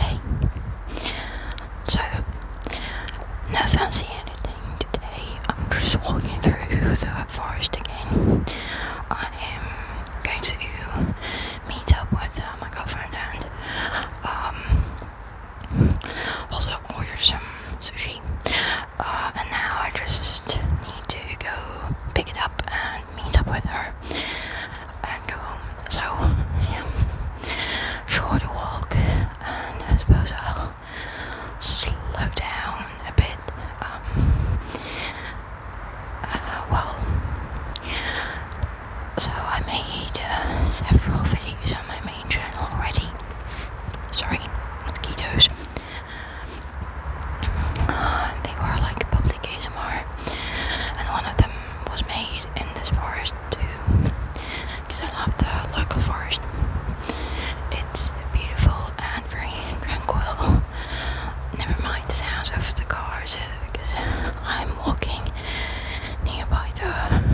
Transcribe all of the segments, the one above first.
Hey, so no fancy anything today. I'm just walking through the forest again. I am going to meet up with uh, my girlfriend and um, also order some sushi. Uh, and now I just need to go pick it up and meet up with her and go home. So, yeah, short walk, and I suppose I'll slow down a bit. Um, uh, well, so I made uh, several videos on my main channel already. Sorry, mosquitoes. they were like public ASMR, and one of them was made in this forest too, because I love the local forest. It's beautiful and very tranquil. Never mind the sounds of the cars, because I'm walking nearby the road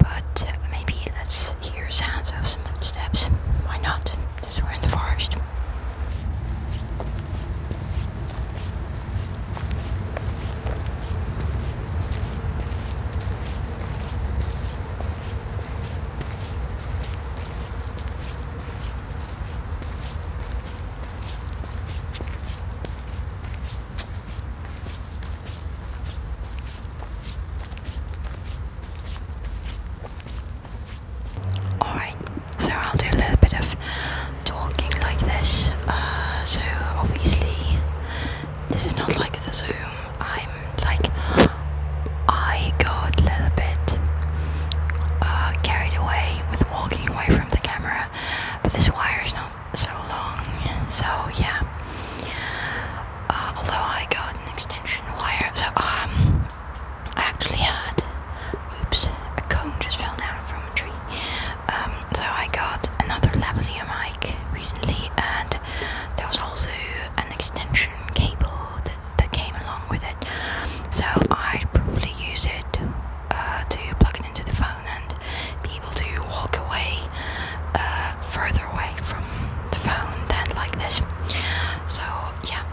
but uh, maybe let's hear sounds of some footsteps. Why not? Since we're in the forest. Alright, so I'll do a little bit of talking like this. Uh, so, obviously, this is not like the Zoom. I'm like, I got a little bit uh, carried away with walking away from the camera, but this wire is not so long. So yeah. Uh, although I got an extension wire, so um, I actually had, oops, a cone just fell down from a tree. Um, so I got another lavalier mic recently, and there was also an extension cable that that came along with it. So I'd probably use it uh, to plug it into the phone and be able to walk away uh, further away from the phone than like this. So yeah,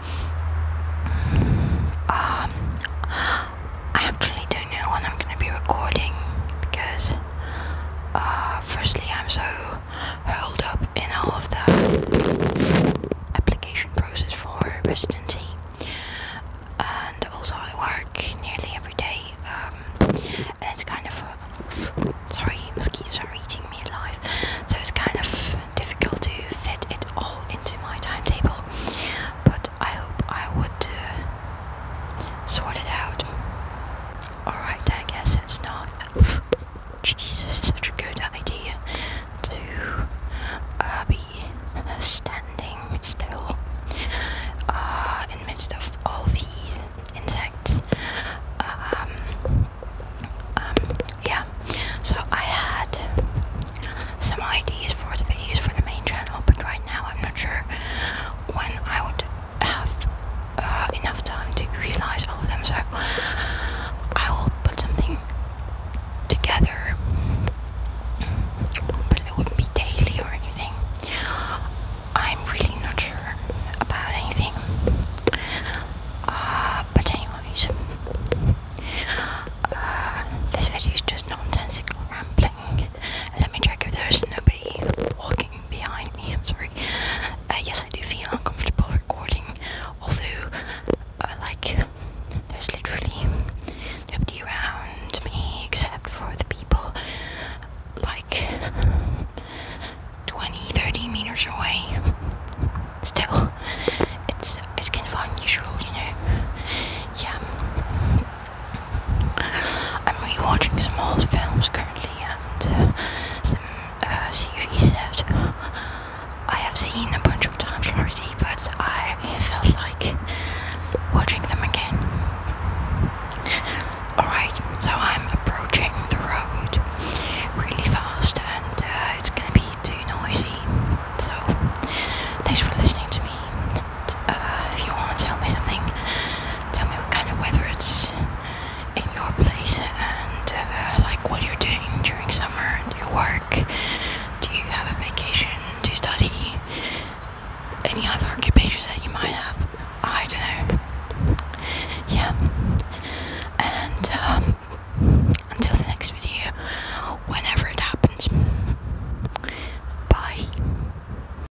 mm, um, I actually don't know when I'm gonna be recording because uh, firstly I'm so held up in all of the application process for residency and also I work nearly every day, um, and it's kind of sorry, mosquitoes are eating me alive, so it's kind of difficult to fit it all into my timetable. But I hope I would uh, sort it out. Alright, I guess it's not Jesus, such a good idea to uh, be standing still uh, in midst of all these insects. Um, um, yeah, so I had some ideas for the videos for the main channel, but right now I'm not sure when I would have uh, enough time to realize all of them, so I will put something together, but it wouldn't be daily or anything. I'm really not sure about anything. Uh, but anyways, uh, this video is just nonsensical rambling. Let me check if there's nobody walking behind me. I'm sorry. Uh, yes, I do feel uncomfortable recording although like there's literally nobody around me except for the people like 20 30 meters away still it's it's kind of unusual you know yeah I'm rewatching some old films currently and uh, uh, series that I have seen a bunch of times already, but I felt like watching them again. Alright, so I'm approaching the road really fast and uh, it's gonna be too noisy. So, thanks for listening to me. Uh, if you want to tell me something, tell me what kind of weather it's in your place and uh, like what you're doing during summer do you work do you have a vacation do you study any other occupations that you might have i don't know yeah and um, until the next video whenever it happens bye